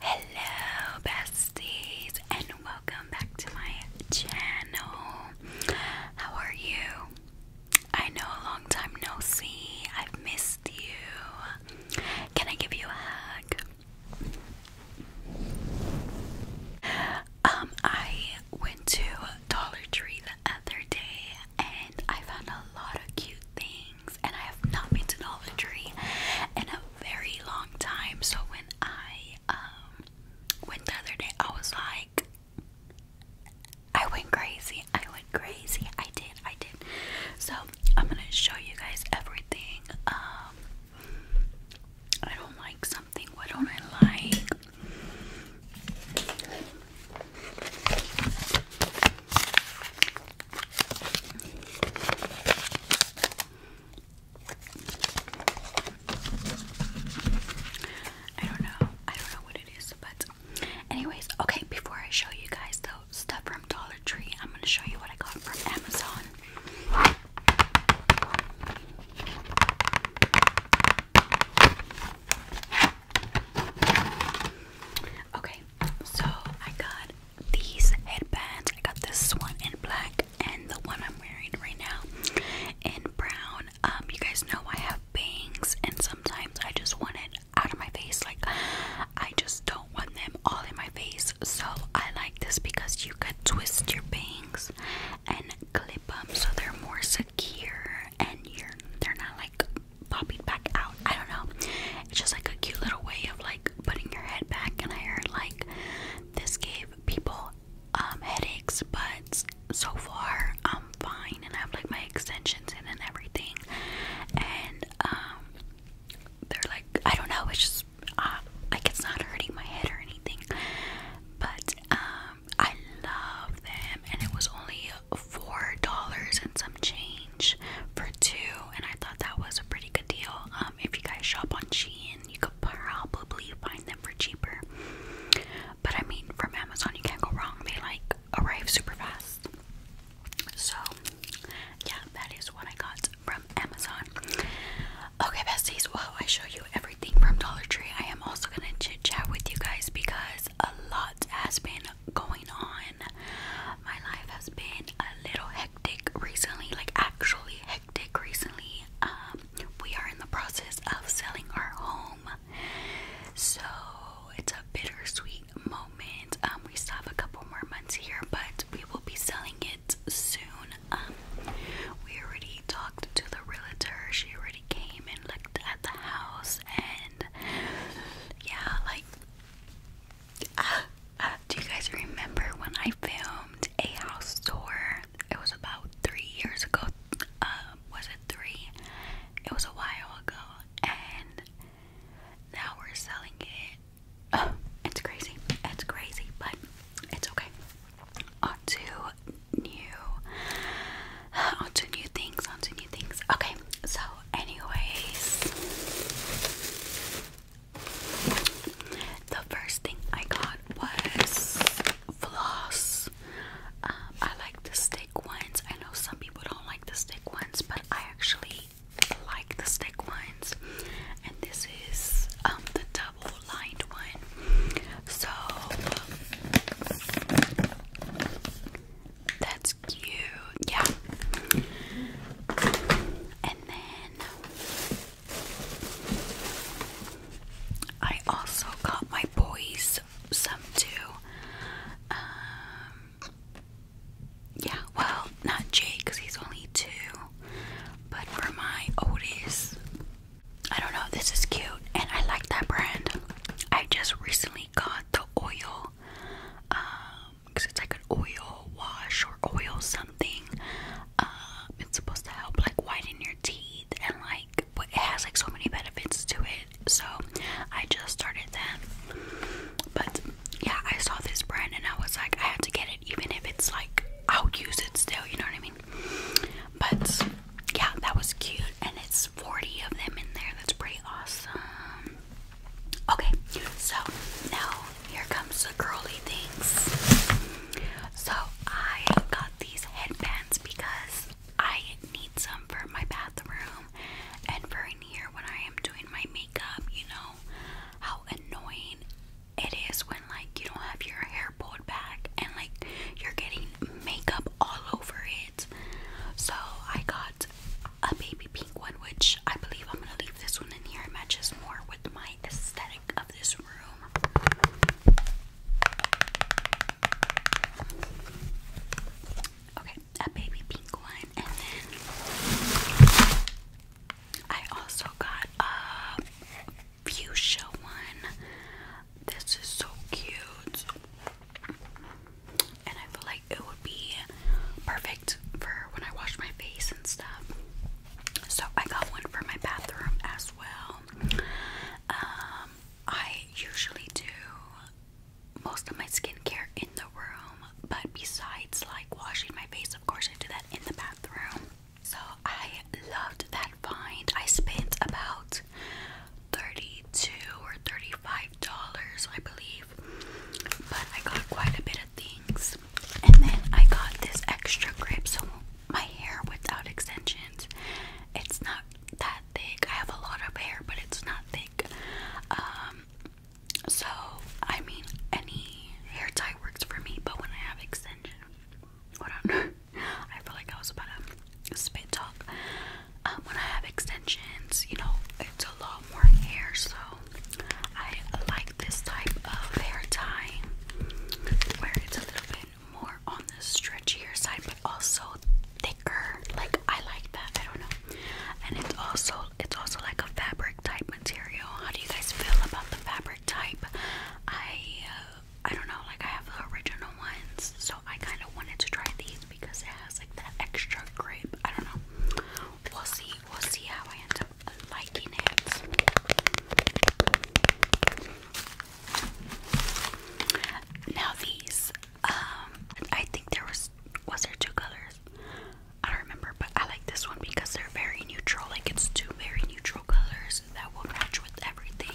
Hello, besties, and welcome back to my channel. How are you? I know a long time no see. I've missed you. Can I give you a hug? Um, I went to Dollar Tree the other day and I found a lot of cute things and I have not been to Dollar Tree in a very long time. So when I um, went the other day, I was like, I went crazy. I went crazy. I did. I did. So I'm gonna show you guys everything. Um, I don't like something. What don't I like? I don't know. I don't know what it is, but anyways, okay, before I show you guys the stuff from Dollar Tree, I'm gonna show you what I got from Amazon. Okay, so I got these headbands. I got this one in black and the one I'm wearing right now in brown. Um, you guys know I have bangs and sometimes I just want it out of my face. Like I just don't want them all in my face. So I like this because you can twist your bangs and clip them so they're more secure and you're they're not like popping back out. I don't know. It's just like a cute little way of like putting your head back. And I heard like this gave people um, headaches, but so far I'm fine and I have like my extensions in and everything. And um, they're like, I don't know. It's just uh, like it's not hurting my head or anything. But um, I love them, and it was only four dollars and some change for two, and I thought that was a pretty good deal. Um, if you guys shop on Shein, you could probably find them for cheaper. But I mean, from Amazon, you can't go wrong. They like arrive super fast. So, yeah, that is what I got from Amazon. Okay, besties. Well, I show you everything from Dollar Tree. I am also gonna chit chat with you guys because a lot has been going on. My life has been a little hectic recently, like actually hectic recently. Um, we are in the process of selling our home, so it's a bittersweet moment. Um, we still have a couple more months here, but we will be selling it soon. Um, we already talked to the realtor, she already came and looked at the house, and yeah, like uh, uh, do you guys remember when I filmed a house tour? It was about three years ago. Uh, was it three? It was a while ago, and now we're selling it. Oh, it's crazy. It's crazy, but it's okay. On to new onto new things, On onto new things. Okay, so, anyways, the first thing I got was floss. Um, I like the stick ones. I know some people don't like the stick ones, but I actually like the stick ones. And this is um, the double lined one. So, that's cute. Yeah. And then I also got my boys some too. Um, yeah, well, not Jake because he's only two, but for my Otis, I don't know, this is cute and I like that brand. I just recently got the oil because um, it's like an oil wash or oil something. Um, it's supposed to help like whiten your teeth and like it has like so many benefits to it. So I just started that. But yeah, I saw this brand and I was like, I have to get it, even if it's like I'll use it still. You know what I mean? But yeah, that was cute and it's 40 of them in there. That's pretty awesome. Okay, so now here comes the girly things. So I got these headbands because I need some for my bathroom and for in here when I am doing my makeup. You know how annoying it is when like you don't have your hair pulled back and like you're getting makeup all over it. So I got a baby pink one, which I believe I'm gonna leave this one in here. It matches more with my aesthetic of this room. Okay, a baby pink one, and then I also got a fuchsia one. This is so cute. And I feel like it would be perfect for when I wash my face and stuff. So I got one for my bathroom as well. Um, I usually do most of my skincare in the room, but besides like washing my face, of course, I do that in the bathroom. So I loved that find. I spent about 32 or $35, I believe. But I got quite a bit of things. And then I got this extra grip so my hair without extensions. It's not that thick. I have a lot of hair, but it's not thick. Um so I mean any hair tie works for me, but when I have extensions, I feel like I was about to spit talk um, when I have extensions, you know, it's a lot more hair, so I like this type of hair tie where it's a little bit more on the stretchier side, but also thicker. Like I like that. I don't know. And it's also it's also like a fabric type material. How do you guys feel about the fabric type? I uh, I don't know. Like I have the original ones, so I kind of wanted to try these because it has like that extra grip. I don't know. We'll see. We'll see how I end up liking it. Now these, um, I think there was was there two colors. I don't remember, but I like this one because they're very neutral. Like it's two very neutral colors that will match with everything.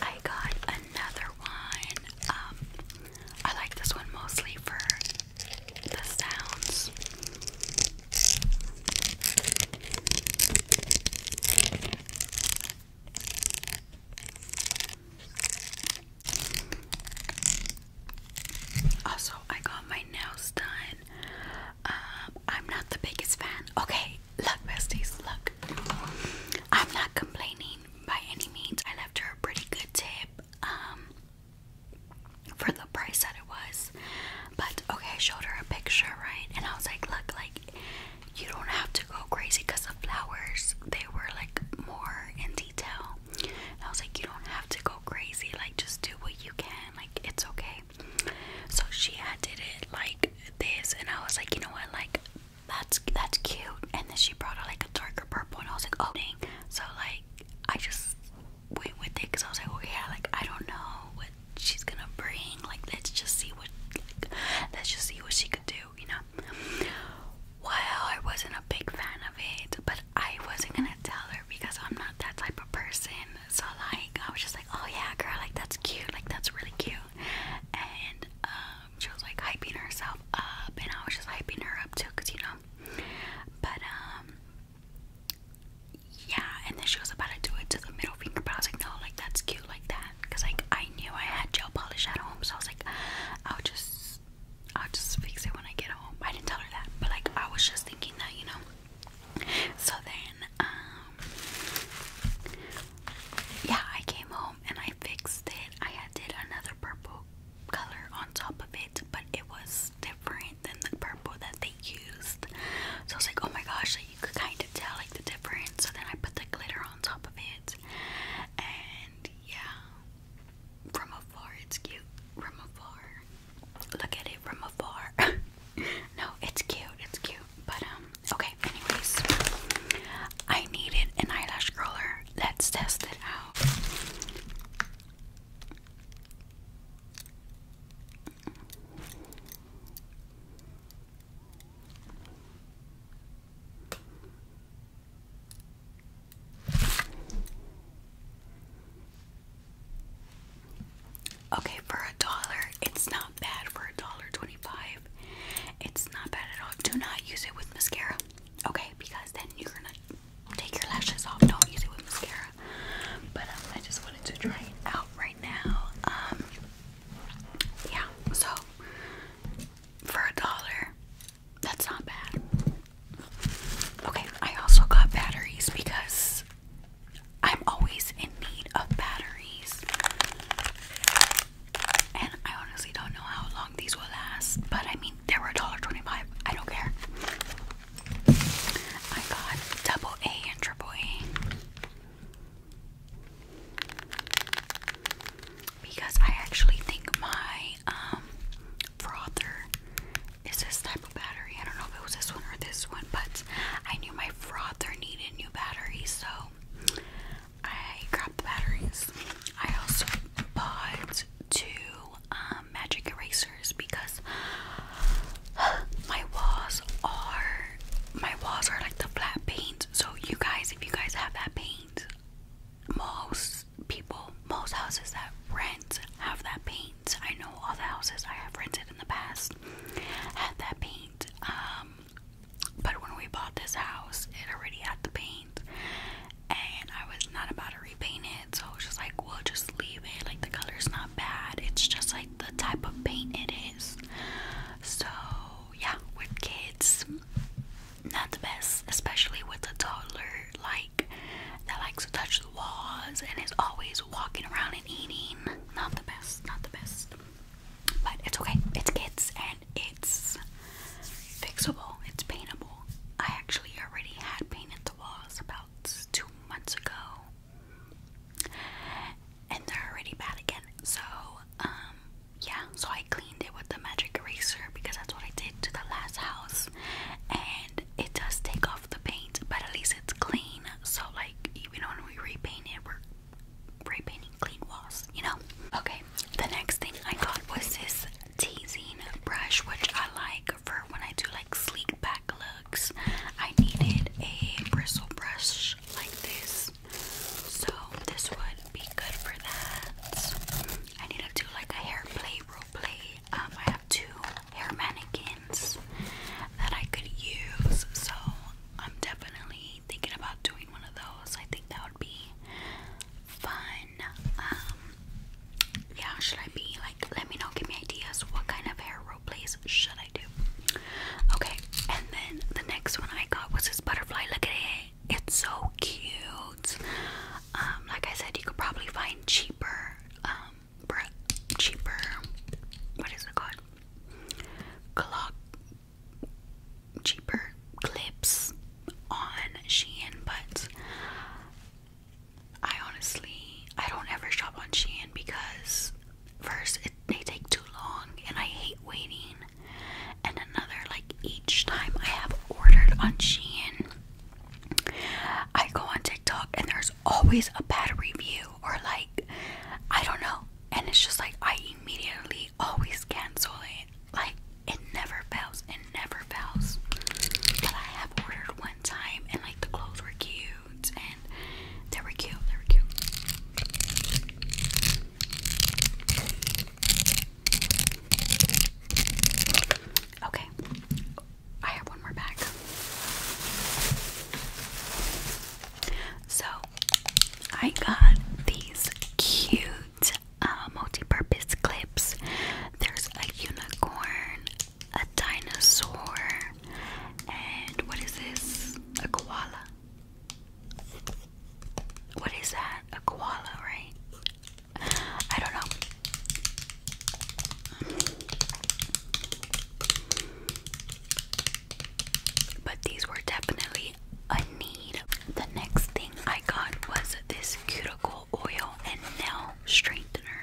I got another one. Um, I like this one mostly for the sounds. Also, I got my nails done. Um, I'm not the biggest fan. Okay, Look, besties, look. I'm not complaining by any means. I left her a pretty good tip um, for the price that it was. But okay, I showed her a picture, right? And I was like, look, like, you don't have to go crazy because the flowers, they were like more in detail. And I was like, you don't have to go crazy. Like, just do what you can. Like, it's okay. So she had did it like this and I was like, you know what, like that's that's cute. And then she brought out like a darker purple and I was like, oh dang. So like I just went with it because I was like, oh yeah, like I don't know what she's gonna bring. Like let's just see what like, let's just see what she could do, you know. Well, I wasn't a big fan of it, but I wasn't gonna tell her because I'm not that type of person. So like I was just like like, oh yeah, girl, like that's cute, like that's really cute. And um, she was like hyping herself up, and I was just hyping her up too, cause you know. But um, yeah, and then she was about to do it to the middle finger, but I was like, no, like that's cute, like that, cause like I knew I had gel polish at home, so I was like, I'll just, I'll just fix it when I get home. I didn't tell her that, but like I was just thinking that, you know. So then um, yeah, I came home and I fixed it. I did another purple color on top of it, but it was different than the purple that they used. So I was like, oh my gosh, like you could kind of tell like the difference. So then I put the glitter on top of it, and yeah, from afar it's cute. From afar, look at it from afar. no, it's cute, it's cute. But um, okay, anyways. I needed an eyelash curler. Let's test it out. Okay, for a dollar, it's not bad for a dollar twenty-five. It's not bad at all. Do not use it with mascara. Okay, because then you're gonna take your lashes off. Don't use it with mascara. But um, I just wanted to try it out right now. Um, yeah. So for a dollar, that's not bad. Okay, I also got batteries because I'm always in need of batteries. And I honestly don't know how long these will last, but I mean, they were $1.25. I don't care. I got double A and triple A. Because I actually think my um, frother is this type of battery. I don't know if it was this one or this one, but I knew my frother needed batteries, so I grabbed the batteries. I also bought two um, magic erasers because my walls are my walls are like the flat paint. So you guys, if you guys have that paint, most people, most houses that rent have that paint. I know all the houses I have rented in the past had that paint paint. Um, but when we bought this house, it already had the paint, and I was not about to repaint it, so I was just like, we'll just leave it. Like, the color's not bad, it's just like the type of paint it is. So, yeah, with kids, not the best, especially with a toddler like that likes to touch the walls and is always walking around and eating not the best, not the best. But it's okay. It's kids and it's fixable. It's paintable. I actually already had painted the walls about two months ago. And they're already bad again. So, um, yeah, so I cleaned it with the magic eraser because that's what I did to the last house. And it does take off the paint, but at least it's clean. So, like, even when we repaint it, we're repainting clean walls, you know? Okay, the next thing I got was this teasing brush, which I like for when I do like sleek back looks. I needed a bristle brush like this, so this would be good for that. I need to do like a hair play role play. Um, I have two hair mannequins that I could use. So I'm definitely thinking about doing one of those. I think that would be fun. Um, yeah, should I be like, let me know, give me ideas. What kind of hair rope plays should I do? Okay, and then the next one I got was this butterfly. Look at it. It's so cute. Um, like I said, you could probably find cheaper um, cheaper. What is it called? Clock cheaper clips on Shein, but I honestly I don't ever shop on Shein because first it, they take too long and I hate waiting. And another, like each time I have ordered on Shein, I go on TikTok and there's always a bad review or like I don't know. And it's just like I immediately always cancel it. Like it never fails. It never fails. But I have ordered one time and like the clothes were cute and they were cute. They were cute. Okay. I have one more bag. So I got these cute uh, multi-purpose clips. There's a unicorn, a dinosaur, and what is this? A koala. What is that? A koala, right? I don't know. But these were definitely a need. The next thing I got was this cuticle oil and nail straightener.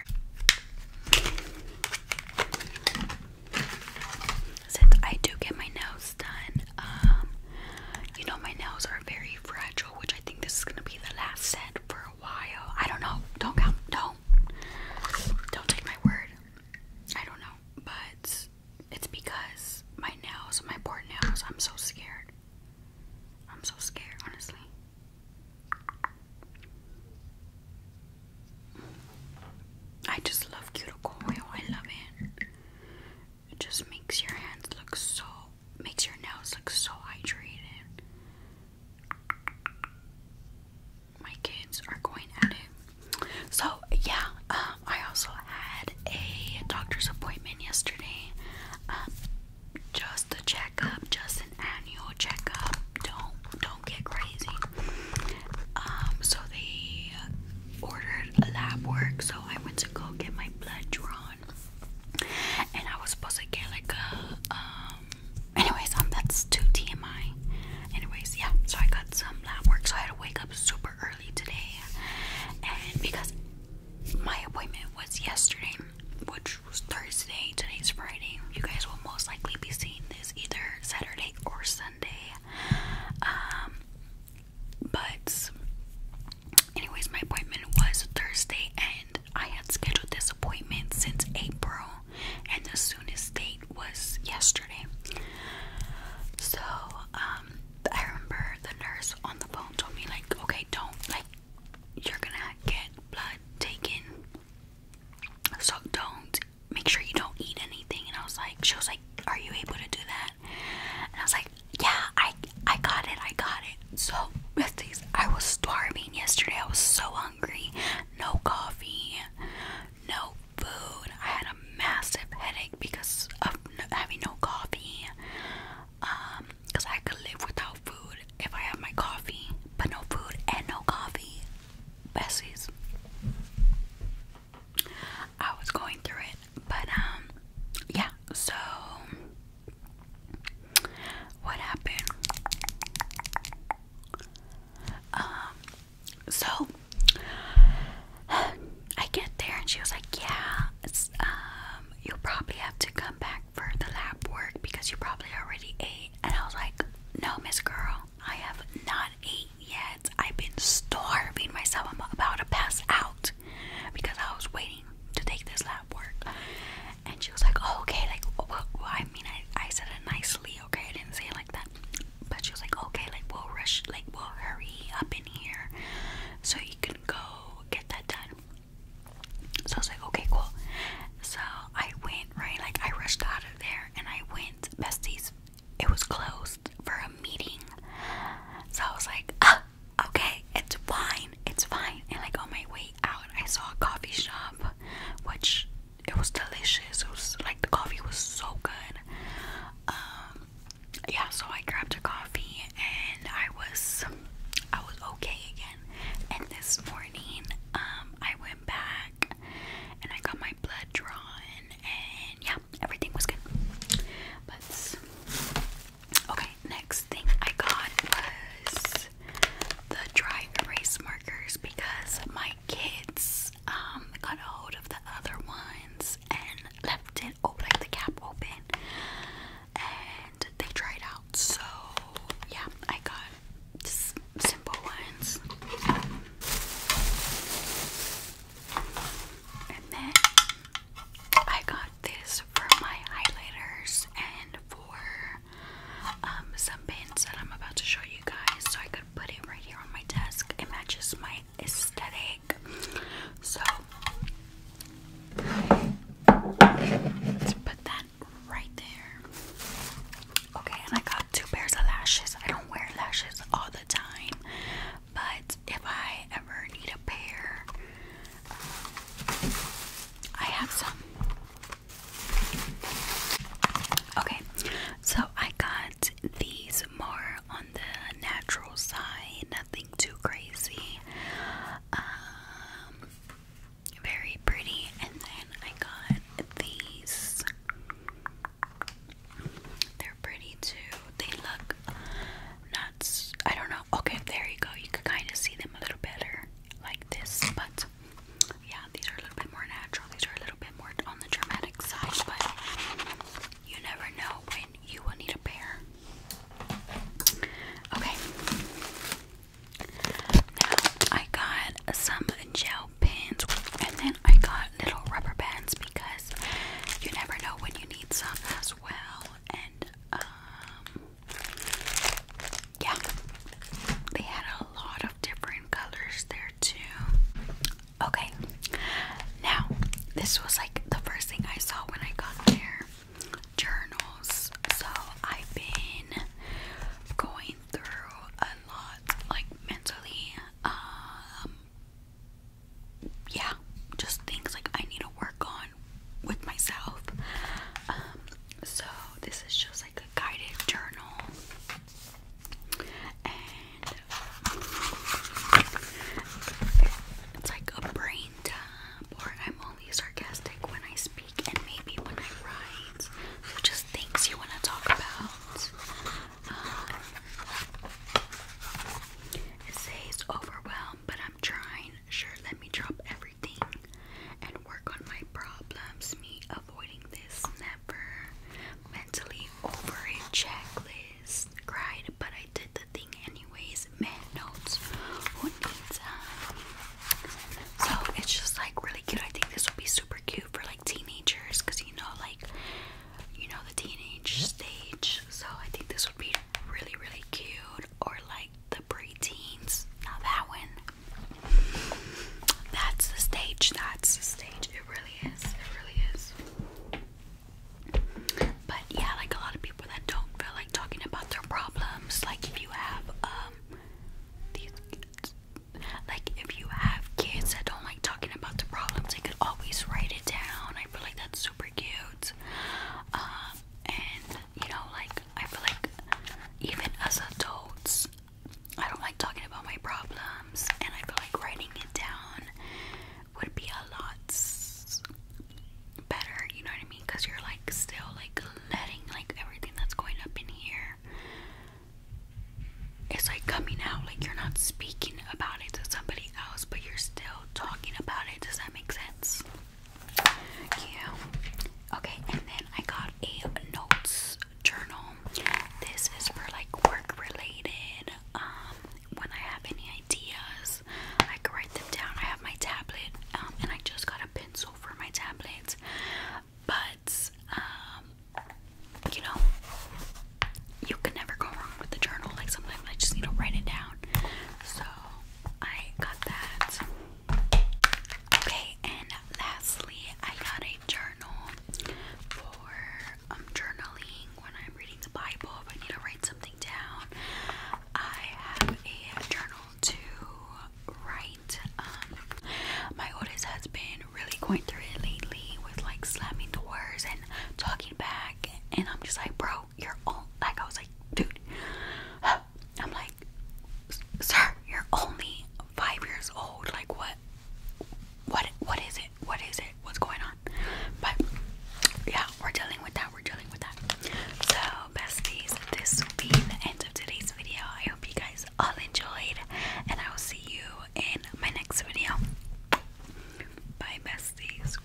Since I do get my nails done, um, you know my nails are very fragile, which I think this is gonna be the last set for a while. I don't know. Don't count. Don't don't take my word. I don't know, but it's because my nails, my poor nails, I'm so scared. I'm so scared, honestly. I just love cuticle oil. I love it. It just makes your hands look so, makes your nails look so hydrated my kids are going at it. So yeah, um, I also had a doctor's appointment yesterday. Um, just a checkup, just an annual checkup. Don't don't get crazy. Um, so they ordered a lab work, so I went to go get my blood drawn, and I was supposed to get like a anyways, um, that's too TMI. Anyways, yeah, so I got some lab work, so I had to wake up super early today, and because my appointment was yesterday, which was Thursday, today's Friday. You guys will most likely be seeing this either Saturday or Sunday. Um, but anyways, my appointment was Thursday, and I had scheduled this appointment since April, and the soonest date was yesterday. So, um, I remember the nurse on the phone told me, like, okay, don't, like, you're gonna get blood taken. So, don't, make sure you don't eat anything. And I was like, she was like, are you able to do that? And I was like, yeah, I, I got it, I got it. So, besties, I was starving yesterday. I was so hungry hungry, no coffee, no food. I had a massive headache because of having no coffee. Um, because I could live without food if I have my coffee, but no food and no coffee. Bessies. I was going through it, but um, yeah, so what happened? Um, so I get there and she was like, "Yeah, um, you'll probably have to come back for the lab work because you probably already ate." And I was like, "No, Miss Girl, I have not ate yet. I've been starving myself. I'm about to pass out because I was waiting to take this lab work. And she was like, oh, okay, like, I mean, I, I said it nicely, okay? I didn't say it like that. But she was like, okay, like, we'll rush, like, we'll hurry up in here so you can go get that done. So I was like, okay, cool. So I went, right? Like, I rushed out of there and I went, besties, it was closed for a meeting. So I was like, ah, okay, it's fine, it's fine. And like on my way out, I saw a coffee shop, which it was delicious. It was like the coffee was so good. Um, yeah, so I grabbed a coffee and I was, I was okay again. And this morning, um, I went back and I got my blood drawn, and yeah, everything was good. But okay, next thing I got was the dry erase markers because my kids um, got a hold of the other ones and left it open, the cap open, and they dried out. So yeah, I got just simple ones. And then I got this for my highlighters and for um, some pins that I'm about to show you guys. So I could put it right here on my desk. It matches my aesthetic. So let's put that right there. Okay, and I got two pairs of lashes. I don't wear lashes all the time, but if I ever need a pair, I have some. Okay, so I got these more on the natural side, nothing too crazy. Um, very pretty, and then I got these. They're pretty too. They look not. I don't know. Okay, there you go. You can kind of see them a little better like this, but yeah, these are a little bit more natural. These are a little bit more on the dramatic side, but you never know when you will need a pair. Okay. Now I got some gel pins and then I got little rubber bands because you never know when you need some as well. And um yeah, they had a lot of different colors there too. Okay, now this was like the first thing I saw when I got there journals. So I've been going through a lot, like mentally. Um, yeah, just things like I need to work on with myself. Um, so this is just like a guided journal, it's like a brain dump. Or I'm only sarcastic when I speak, and maybe when I write. So just things you want to talk about. Um, it says overwhelmed but I'm trying. Sure, let me drop everything and work on my problems. Me avoiding this never mentally over it checklist. Cried, but I did the thing anyways. Man notes. Who needs um So it's just like really cute. I think this would be super cute for like teenagers because you know like you know the teenage stage. So I think this would be really really cute or like the preteens. Now that one. That's the stage. That's the stage. It really is. It really is. But yeah, like a lot of people that don't feel like talking about their problems. Like if you have um these like if you have kids that don't like talking about their problems, they could always write it down. I feel like that's super cute. Um, and you know, like I feel like even as adults, I don't like talking about my problems, and I feel like writing it down would be a lot better. You know what I mean? Because you're like still like letting like everything that's going up in here. It's like coming out, like you're not speaking about it to somebody else, but you're still talking about it. Does that make sense? Yeah. Okay, and then I got a notes journal. This is for like work related. Um, when I have any ideas, I can write them down. I have my tablet, um, and I just got a pencil for my tablet. But um, you know, you can never go wrong with the journal. Like sometimes I just need to write it down. So I got that. Okay, and lastly, I got a journal for um, journaling when I'm reading the Bible. If I need to write something down, I have a journal to write. Um, my oldest has been really going through it lately with like slamming doors and talking back, and I'm just like, bro, you're all like I was like, dude, I'm like, sir, you're only five years old. Like what? What? What is it? What is it? What's going on? But yeah, we're dealing with that. We're dealing with that. So besties, this will be the end of today's video. I hope you guys all enjoyed, and I will see you in my next video. Bye, besties.